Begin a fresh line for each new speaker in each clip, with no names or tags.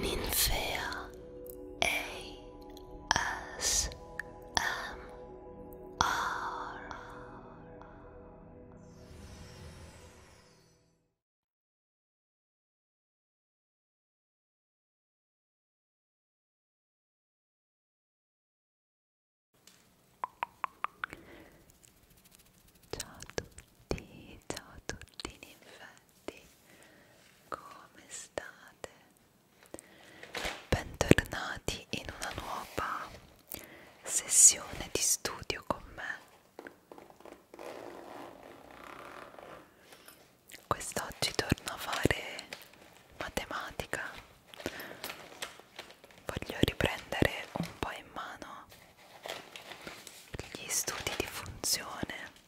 Ninfea ASMR Ciao a tutti, ciao a tutti ninfe studenti, come state? Bentornati in una nuova sessione di studio con me. Quest'oggi torno a fare matematica. Voglio riprendere un po' in mano gli studi di funzione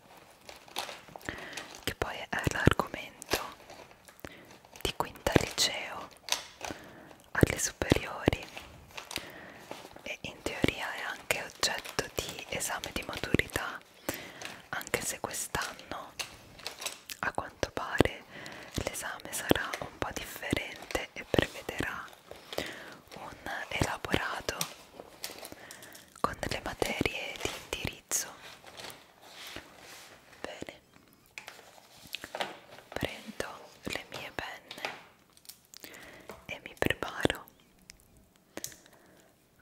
che poi è l'argomento di quinta liceo alle superiori e in teoria è anche oggetto di esame di maturità anche se quest'anno a quanto pare l'esame sarà un po' differente e prevederà un elaborato con delle materie di indirizzo bene prendo le mie penne e mi preparo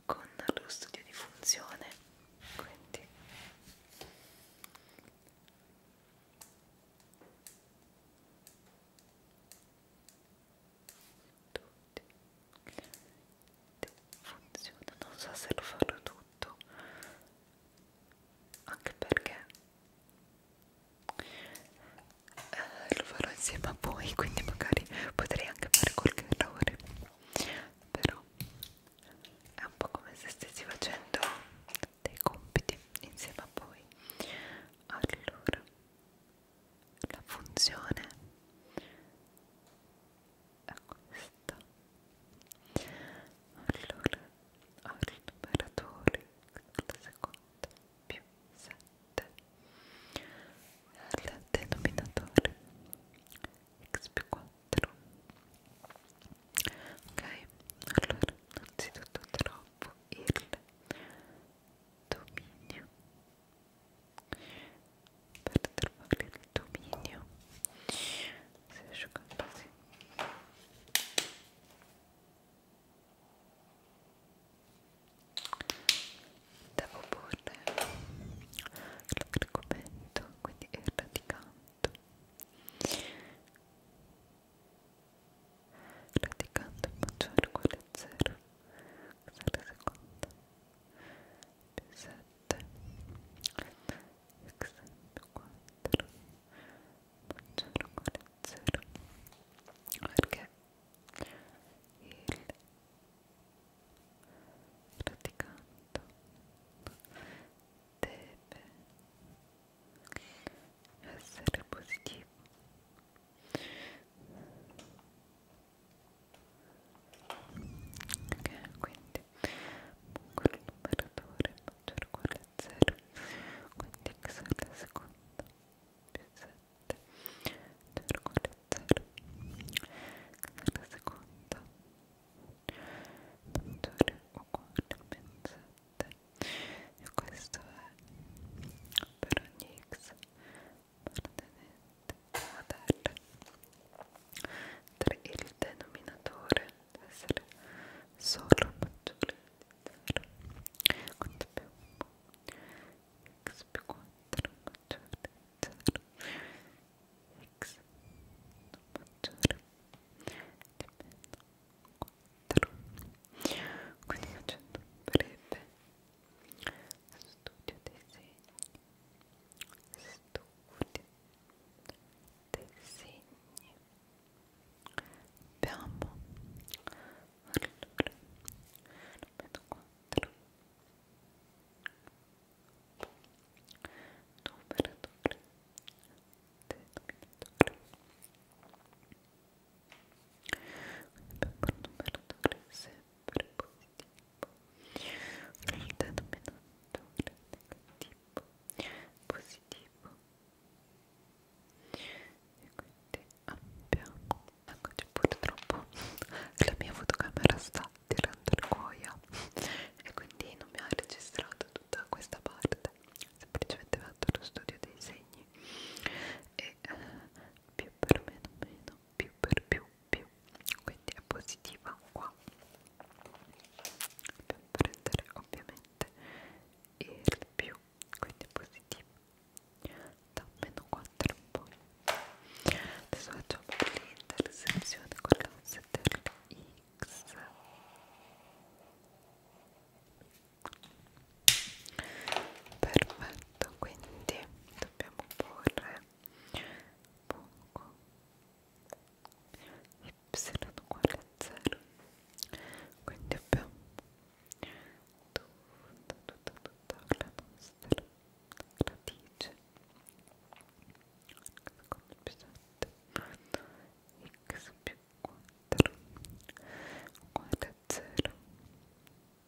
con lo studio di funzione quindi tutti funziona non so se lo farò tutto anche perché eh, lo farò insieme a voi quindi magari potrei anche fare qualche errore però è un po' come se stessi facendo dei compiti insieme a voi allora la funzione è questa allora al numeratore alla seconda più 7 al denominatore x più 4 ok allora innanzitutto trovo il dominio per trovare il dominio si asciuga così devo porre l'argomento quindi il radicante radicando in faccia quale 0 cos'è la seconda più 7 x più 4 maggiore uguale 0 perché il radicando deve essere positivo ok quindi quello numeratore maggiore uguale a 0 quindi x alla seconda più 7 0 uguale a 0 x alla seconda maggiore uguale a meno 7 e questo è per ogni x la terra 3 il denominatore deve essere solo maggiore di 0 quanto abbiamo? x più 4 maggiore di 0 x maggiore di meno 4 quindi facendo breve studio disegni studio disegni abbiamo allora vedo 4 numeratore denominatore abbiamo un numeratore sempre positivo un denominatore negativo positivo e quindi abbiamo eccoci purtroppo la mia fotocamera sta tirando il cuoio e quindi non mi ha registrato tutta questa parte semplicemente vado allo studio dei segni e eh, più per meno meno più per più più quindi è positiva qua dobbiamo prendere ovviamente il più quindi è positivo da meno 4 in poi adesso facciamo l'intersezione con l'asse dell'x perfetto quindi dobbiamo porre poco y uguale a 0 quindi abbiamo tutta tutta tutta la nostra radice secondo episodio x più 4 uguale a 0 x più 4 uguale a 0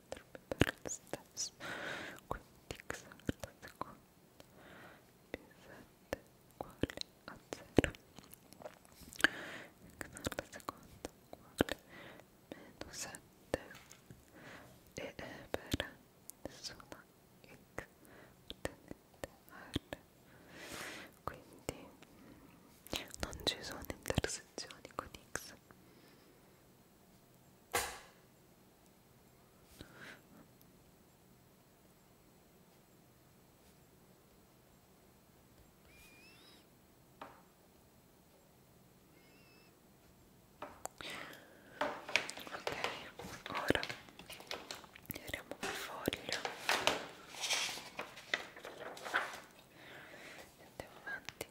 potrebbe per lo stesso quindi x alla seconda più 7 uguale a 0 x alla seconda uguale meno 7 e per nessuna x tenente a r quindi non ci sono intersezioni con x Ok, ora tiriamo il foglio e andiamo avanti.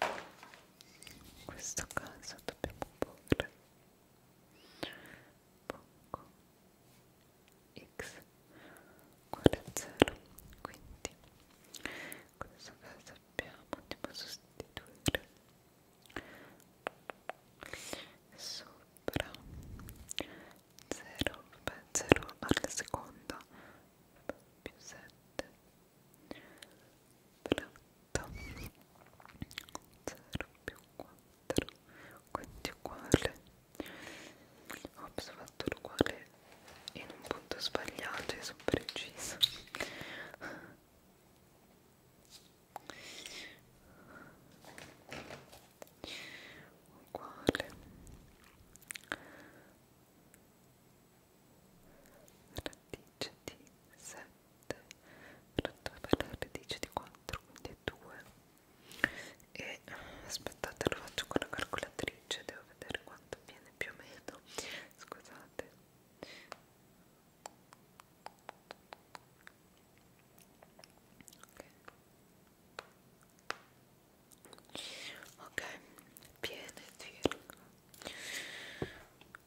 in questo caso dobbiamo porre poco x uguale a 0 quindi in questo caso abbiamo andiamo a sostituire sopra 0 0 alla seconda più 7 prato 0 più 4 quindi uguale ops fatto l'uguale in un punto sbagliato e sono preciso uguale radice di 7 pronto per la radice di 4 quindi è 2 e aspettate lo faccio con la calcolatrice devo vedere quanto viene più o meno scusate ok, ok viene circa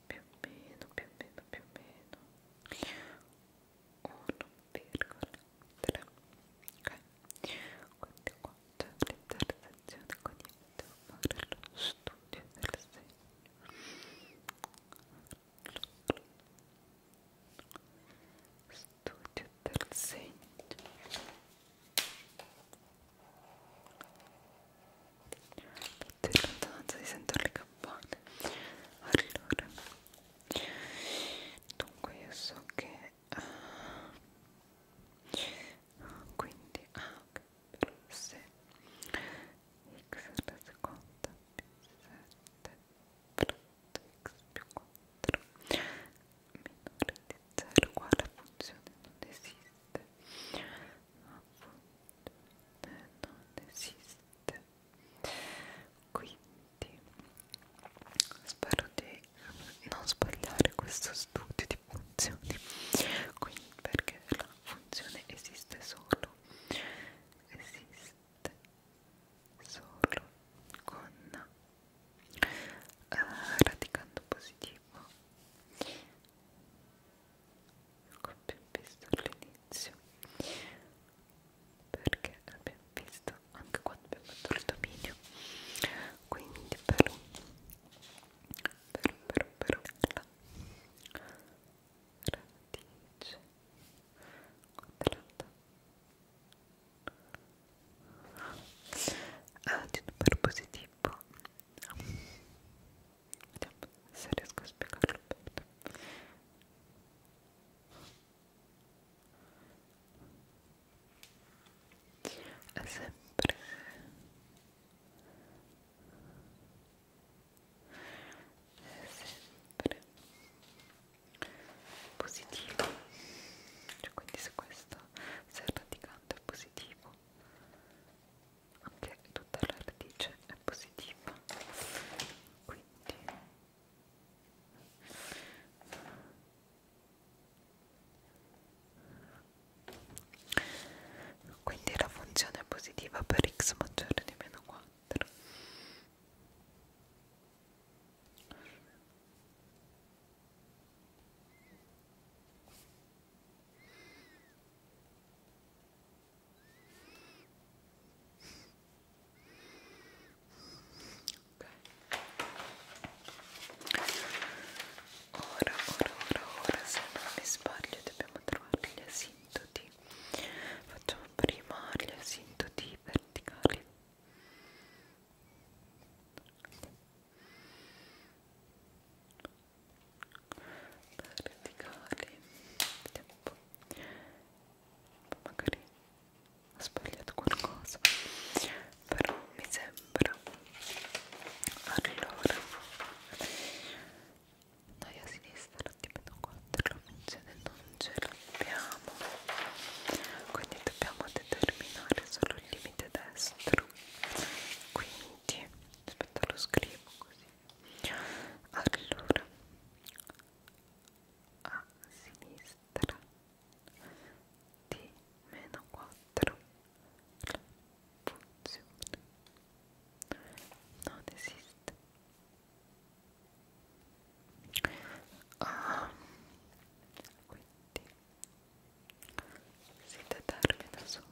più o meno, più o meno, più o meno 1,3 ok quindi qua c'è l'intersezione con il fare lo studio del segno studio del segno di lontananza si sentono le campane allora dunque io so che uh, quindi ah, okay, però se x alla seconda più 7 fratto x più 4 minore di 0 uguale a funzione non esiste appunto non esiste quindi spero di non sbagliare questo studio di funzioni quindi perché la funzione esiste solo esiste solo con eh, radicando positivo come ecco, abbiamo visto all'inizio perché abbiamo visto anche quando abbiamo fatto il dominio quindi però però però però la radice quadrata ah, di un numero positivo vediamo se riesco a spiegarlo bene è sempre è sempre positivo cioè quindi se questo se il radicante è positivo anche tutta la radice è positiva quindi quindi la funzione è positiva per x maggiore di meno 4 ok Ora, ora, ora, ora, se non mi sbaglio dobbiamo trovare gli asintoti. Facciamo prima gli asintoti verticali verticali vediamo un po' magari ho sbagliato qualcosa però mi sembra allora noi a sinistra la tipico 4 funzione non ce l'abbiamo quindi dobbiamo determinare solo il limite destro quindi aspetta lo scrivo così allora a sinistra di meno 4 la funzione non esiste ah, quindi si determina solo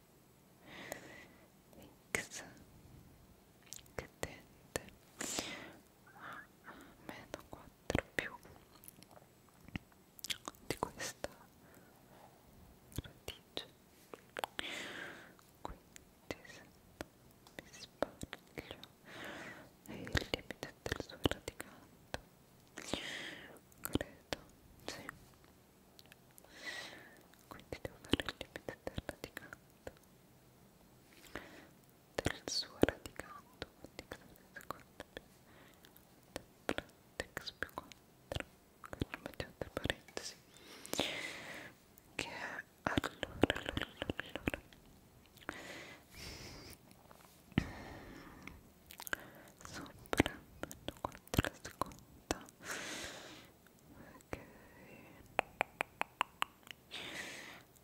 X che tende a ah, meno 4 più di questa radice quindi se non mi sbaglio è il limite del suo radicante credo sì quindi devo fare il limite del radicando del suo radicando quindi del vertex più 4 che lo mettiamo tra parentesi che è allora allora allora sopra prendo 4 la seconda ok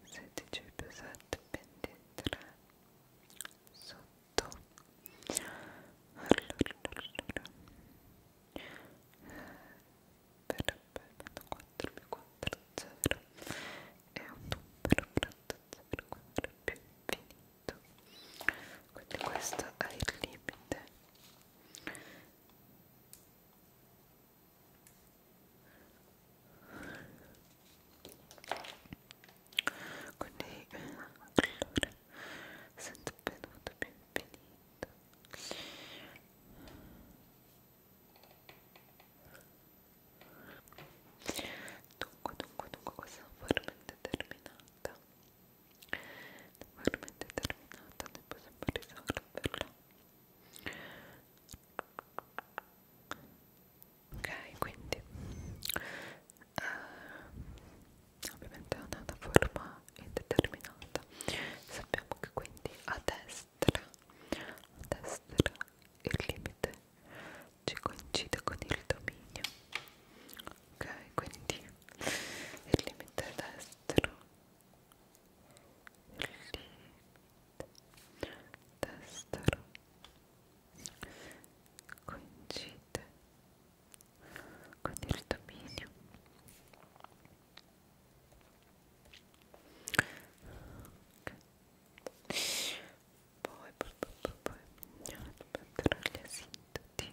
16 più 7 23 sotto allora, allora. verrebbe eh, 4 più 4 0 e un numero pronto 0 4 più infinito quindi questo è il limite quindi allora sento benvenuto benvenuto dunque dunque dunque questa è veramente terminata normalmente terminata ne possiamo risolverla ok quindi uh, ovviamente è una forma indeterminata sappiamo che quindi a destra a destra il limite ci coincide con il dominio ok quindi il limite destro lì destro coincide con il dominio okay. poi poi poi poi metterò gli asinti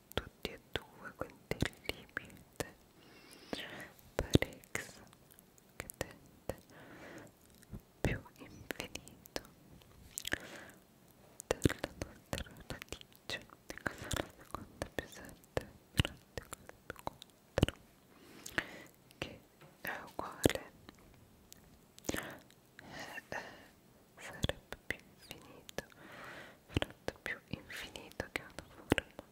tutti e due con del limite per x che tende più infinito della nostra radice di casa alla seconda più 7 grande cosa più 4 che è uguale eh, sarebbe più infinito frutto più infinito che ha una forma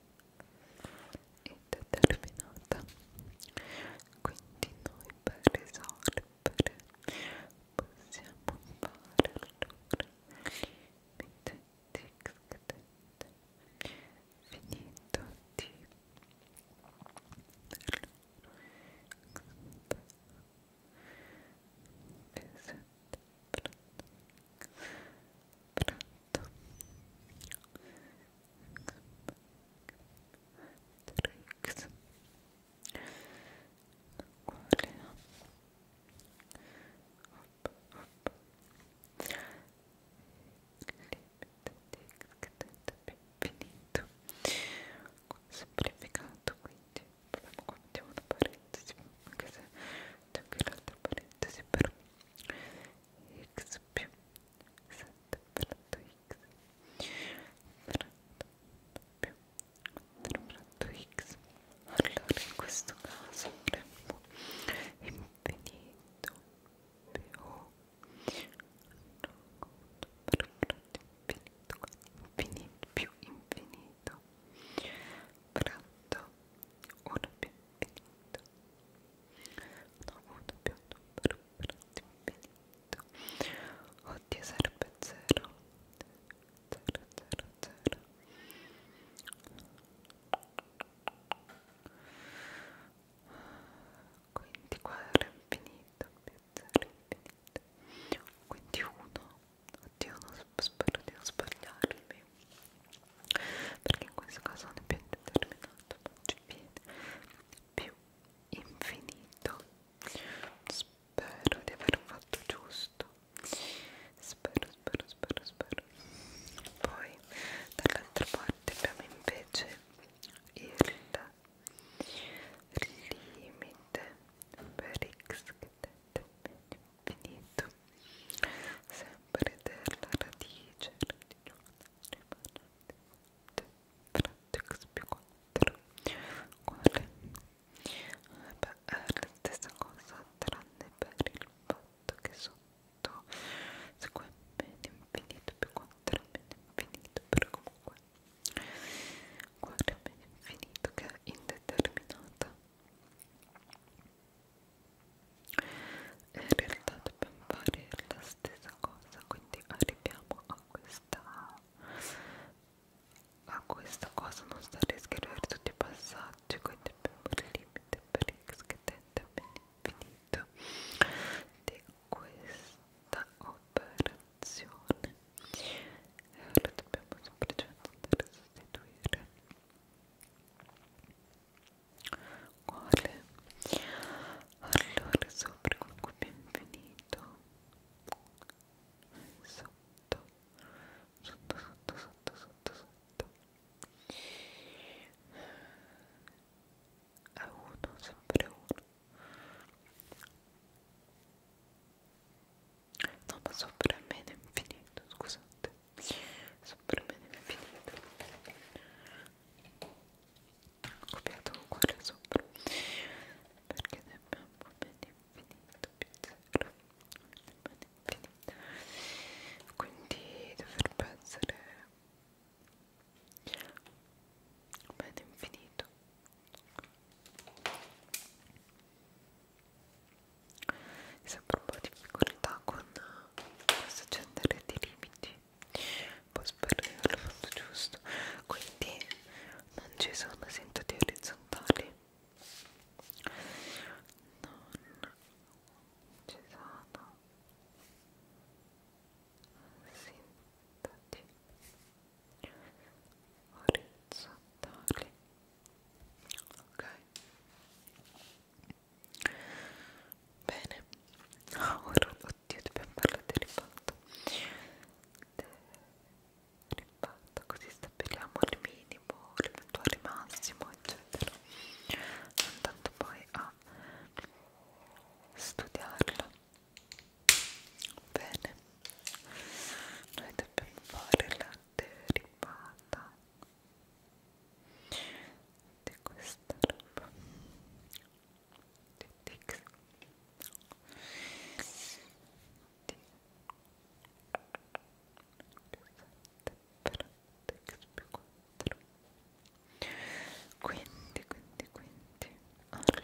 indeterminata quindi noi per risolvere possiamo fare allora limite di x cadente finito di allora x sette, pronto, pronto, Trix, cuore, up, up, limite, tic, tic, tic, tic, finito qua, ecco, semplificato quindi proviamo qua mettiamo una parentesi anche se c'è anche l'altra parentesi però x più 7 fratto x fratto più 4 fratto x allora in questo caso avremmo infinito più no, per fratto infinito infinito più infinito pronto uno più infinito no, uno più numero pronto infinito oddio sarebbe 0 0 0 0 quindi qua era infinito più 0 infinito quindi 1 oddio non spero di non sbagliarmi perché in questo caso non è più determinato ma ci viene più infinito spero di aver fatto giusto spero spero spero spero poi dall'altra parte abbiamo invece il limite per x dell'architetto infinito, sempre della radice religiosa rimanente, frattex più 4, quale? Beh, è la stessa cosa, tranne per il fatto che sotto segue meno infinito più 4 meno infinito, però comunque guardami infinito che è indeterminata e in realtà dobbiamo fare la stessa cosa quindi arriviamo a questa a questa cosa non stare a scrivere tutti i passaggi quindi abbiamo il limite per x che tende all'infinito di questa opera colazione e ora dobbiamo semplicemente andare a sostituire quale? allora sopra con cui benvenuto sotto sotto sotto sotto sotto sotto a uno sempre uno no ma sopra me infinito scusate sopra me infinito ho copiato un cuore sopra perché ne abbiamo infinito più zero infinito quindi dovrebbe essere un infinito sempre un po' di difficoltà con questo genere di limiti un po' sparare al fatto giusto quindi non ci sono sintoti orizzontali non ci sono sintoti orizzontali ok bene ora oddio dobbiamo parlare del rimpatto del rimpatto così stabiliamo il minimo l'eventuale massimo eccetera andando poi a studiarlo Bene, noi dobbiamo fare la derivata di questa roba di Dix di 7 per Dix più 4 quindi, quindi, quindi allora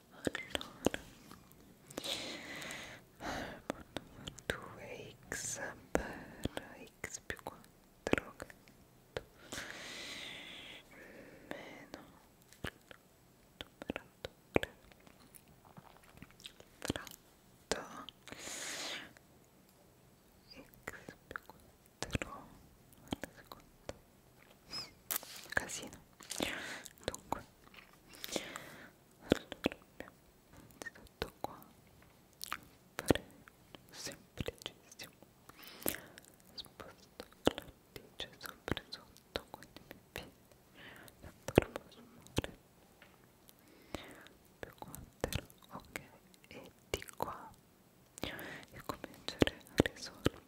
allora 2x per x più 4 che meno numeratore fratto x più 4 alla seconda casino dunque allora sotto qua fare semplicissimo sposto la radice sopra sotto quindi mi viene la forma sumore più 4 ok e di qua e cominciare a risolvere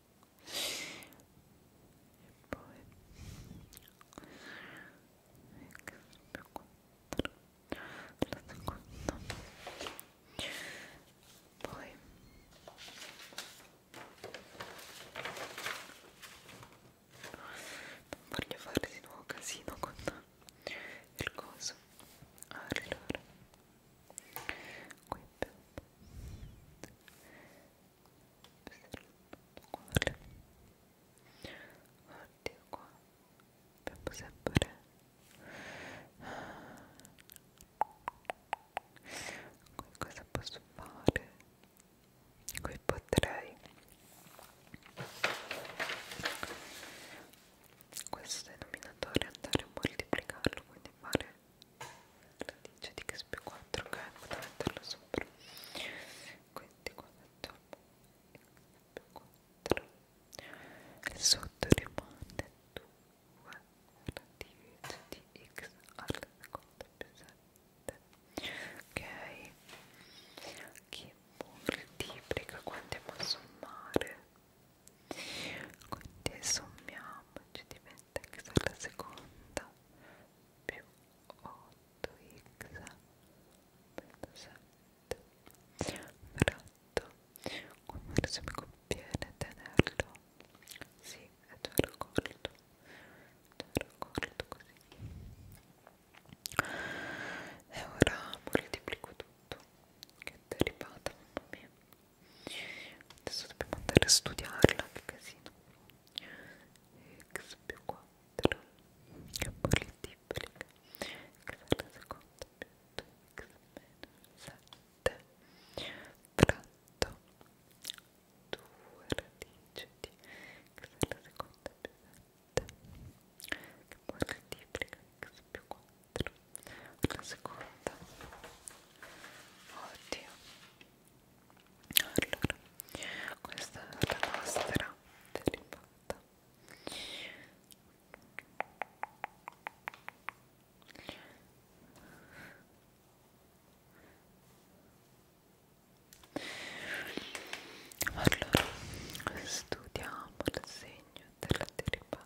e poi x più 4 alla seconda poi non voglio fare di nuovo casino con il coso allora qui abbiamo cuore oddio qua abbiamo sempre qui cosa posso fare qui potrei questo denominatore andare a moltiplicarlo quindi fare radice di xp4 che vado a metterla sopra quindi qua mettiamo xp4 e sotto rimane 2 radice di x alla seconda più 7 ok che moltiplica quando andiamo a sommare quindi sommiamoci diventa x alla seconda più 8x meno 7 fratto qua forse mi conviene tenerlo sì, è già raccolto già raccolto così e ora moltiplico tutto che è derivata mamma mia adesso dobbiamo andare a studiarla che casino x più 4 che multiplica x alla seconda più 2x meno 7 fratto 2 radice di x alla seconda più 7 che moltiplica x più 4 dentro la seconda oddio allora questa è la nostra derivata allora studiamo il segno della derivata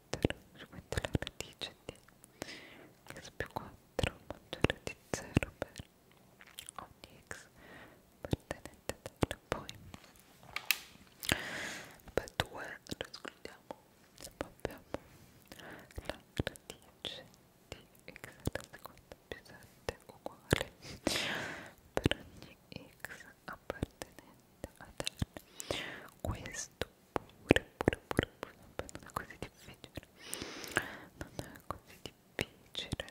mettere, ci metto la radice di x più 4 maggiore di 0 per ogni x appartenente a terra. Poi per 2 lo escludiamo e poi abbiamo la radice di x alla seconda più 7 uguale per ogni x appartenente a terra. Questo pure, pure, pure, pure, non è così difficile, non è così difficile.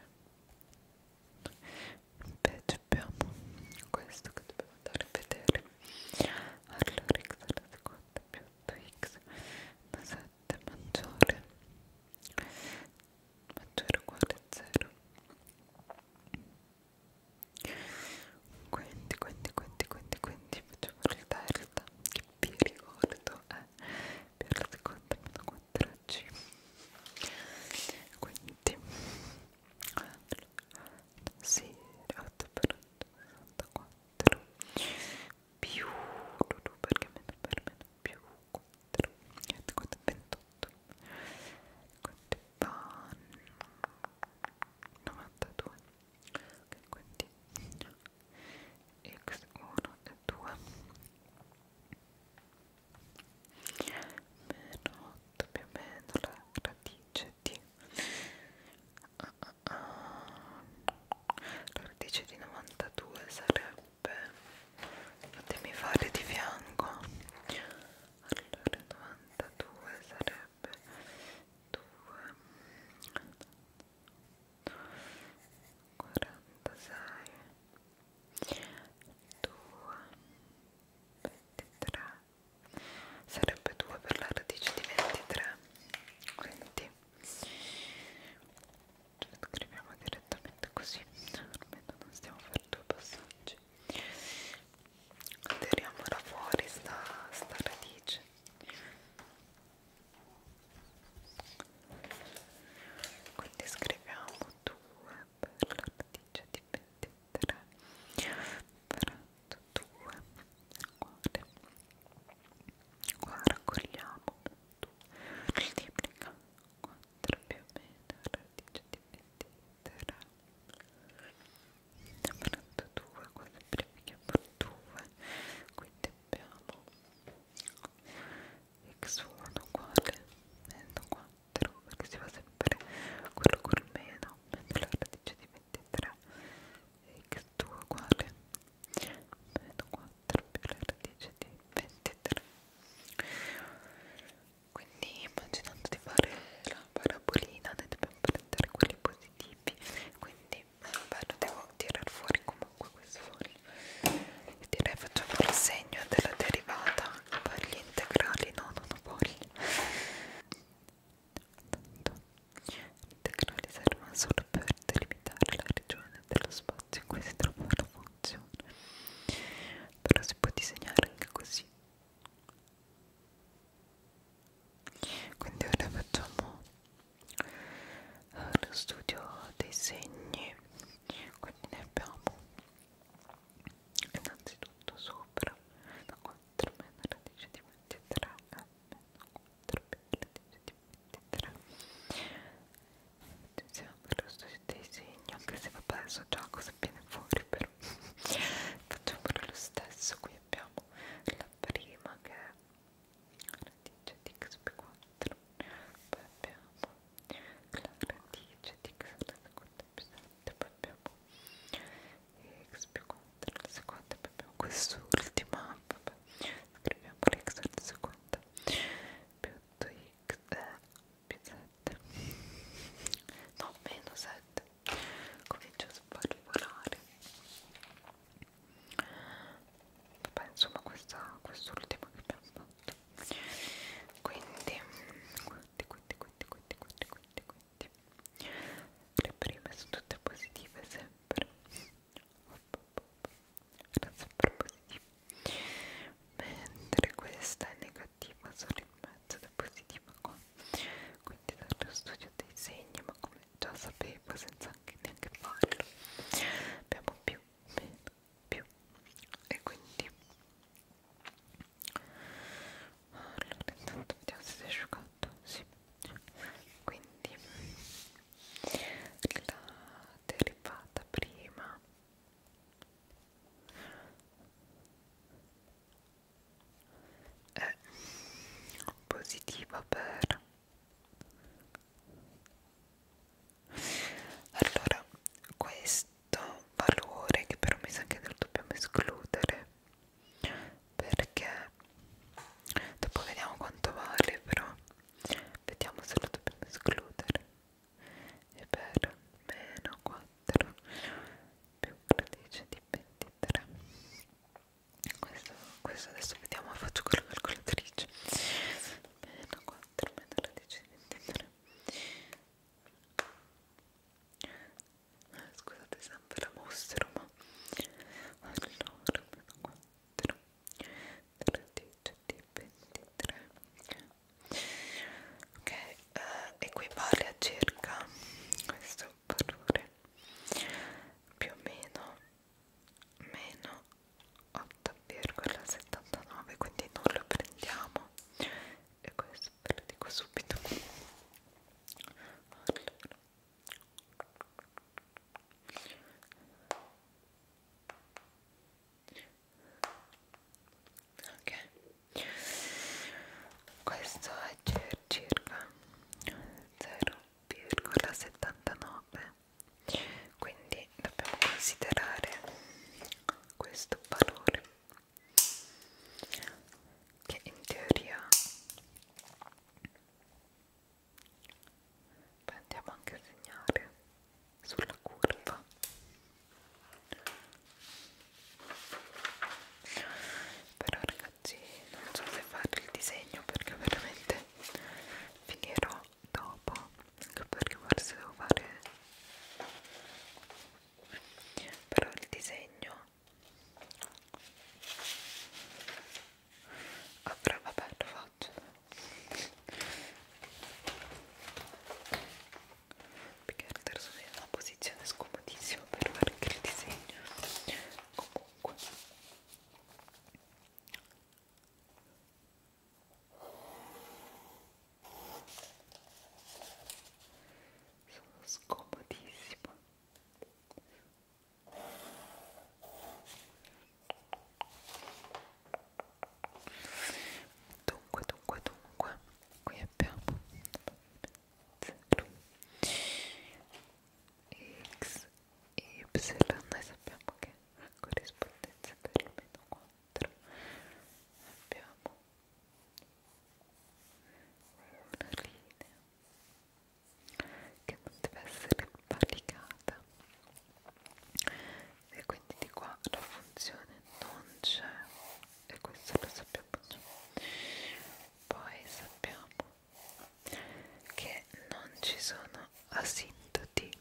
Invece abbiamo questo che dobbiamo andare a vedere. Allora x alla seconda più x da 7 maggiore maggiore uguale a 0 quindi quindi quindi quindi quindi facciamo il delta che vi ricordo è eh, per la seconda mano 4G quindi sì, 8 per 64 più perché meno per meno più 4 quanto 28 quanto fa 92 ok quindi x1 e 2 meno 8 più o meno la radice di ah, ah, ah. la radice di 92 sarebbe fatemi fare di fianco allora 92 sarebbe sarebbe 2 46 2 23 sarebbe 2 per la radice di 23 quindi scriviamo direttamente così almeno non stiamo a fare due passaggi tiriamo fuori sta, sta radice quindi scriviamo 2 per l'artiglio di 23 per 2 uguale qua raccogliamo 2 moltiplica 4 più o meno l'artiglio di 23 42 quasi primi che abbattuve quindi abbiamo x1 uguale meno 4 perché si fa sempre quello col meno meno la radice di 23 x2 uguale meno 4 più la radice di 23 quindi immaginando di fare la parabolina ne dobbiamo prendere quelli positivi vari tipi quindi vabbè lo devo tirar fuori comunque questo foglio e direi facciamo il segno della derivata per gli integrali no non ho voglia gli integrali servono solo per delimitare la regione dello spazio in cui si trova la funzione però si può disegnare anche così quindi ora facciamo eh, lo studio dei segni quindi ne abbiamo innanzitutto sopra da 4 meno radice di 23 a meno 4 più radice di 23 attenzione per lo studio dei segni anche se vabbè so già cosa viene fuori però facciamo lo stesso qui abbiamo la prima che la radice di xp4 poi abbiamo la radice di x alla seconda più poi abbiamo x più 4 alla seconda poi abbiamo quest'ultima vabbè scriviamo l'x alla seconda più 8x eh, più 7 no meno 7 comincia a svalvolare vabbè insomma questa quest'ultima che abbiamo fatto quindi quindi quindi quindi quindi quindi quindi quindi le prime sono tutte positive sempre era sempre positiva mentre questa è negativa solo in mezzo ed è positiva qua quindi dallo studio dei segni ma come come già sapevo senza neanche farlo abbiamo più, meno, più e quindi allora intanto vediamo se si è asciugato sì. quindi la derivata prima è positiva per allora questo valore che però mi sa che lo dobbiamo escludere perché dopo vediamo quanto vale però vediamo se lo dobbiamo escludere e per meno 4 più 13 di 23 questo, questo adesso vediamo faccio con la calcolatrice 4 13 23 scusate sempre la mostro ma allora 4 13 23 ok uh, equivale a circa questo un valore più o meno meno 8,79 quindi non lo prendiamo e questo ve lo dico subito allora. ok questo è circa 0,79 quindi dobbiamo considerare questo valore che in teoria poi andiamo anche a segnare sulla curva però ragazzi oggi non so se fare il disegno perché veramente finirò dopo anche perché forse devo fare però il disegno avrà vabbè lo faccio perché adesso sono in una posizione scomodissima per fare il disegno comunque ovunque sono scomodissima dunque dunque dunque qui abbiamo x, y, noi sappiamo che la corrispondenza per il meno 4 abbiamo una linea che non deve essere valicata e quindi di qua la funzione non c'è e questo lo sappiamo già poi sappiamo che non ci sono asintoti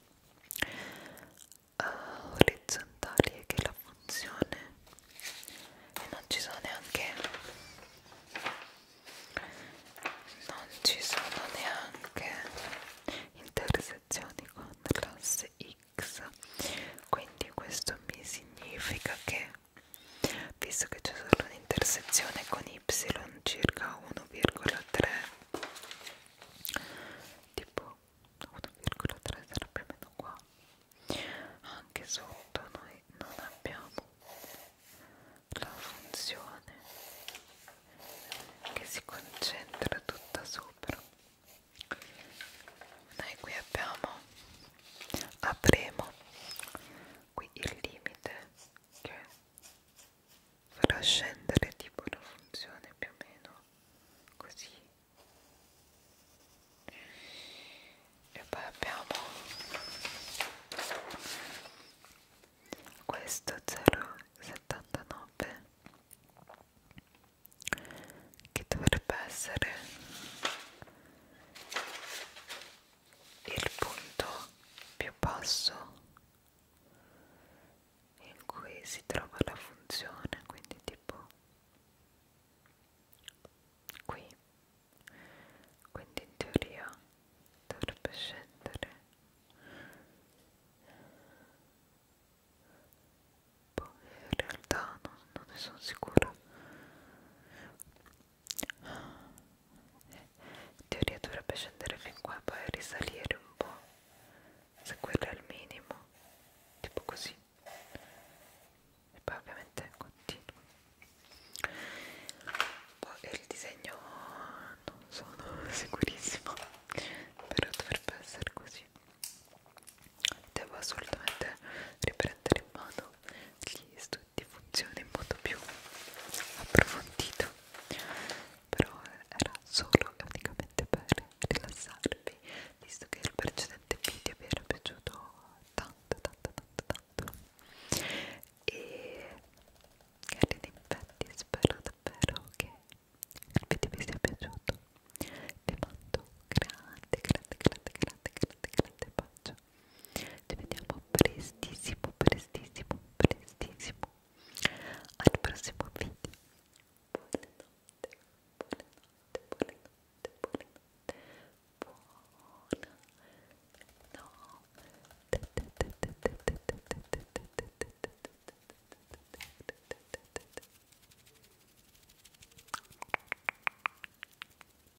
uh, orizzontali e che la funzione e non ci sono neanche non ci sono neanche intersezioni con l'asse x quindi questo mi significa che visto che c'è solo un'intersezione con y circa 1,3 tipo 1,3 sarà più o meno qua anche sotto noi non abbiamo la funzione che si concentra tutta sopra noi qui abbiamo avremo qui il limite che farà scendere tipo una funzione più o meno così e poi abbiamo questo 0,79 che dovrebbe essere il punto più basso in cui si trova la funzione quindi tipo qui quindi in teoria dovrebbe scendere poi boh, in realtà non, non ne sono sicura in teoria dovrebbe scendere fin qua poi risalire un po' se quello è il minimo tipo così e poi ovviamente continuo boh, poi il disegno non sono sicurissimo però dovrebbe essere così devo assolutamente riprendere in mano gli studi ti funziona in modo più approfondito però era solo e unicamente per rilassarvi visto che il precedente video vi era piaciuto tanto tanto tanto tanto e cari infatti spero davvero che il video vi sia piaciuto vi mando grande grande grande grande grande grande bacio Ci vediamo prestissimo, prestissimo, prestissimo al prossimo video. Buonanotte, buonanotte, buonanotte, buonanotte. Buona no.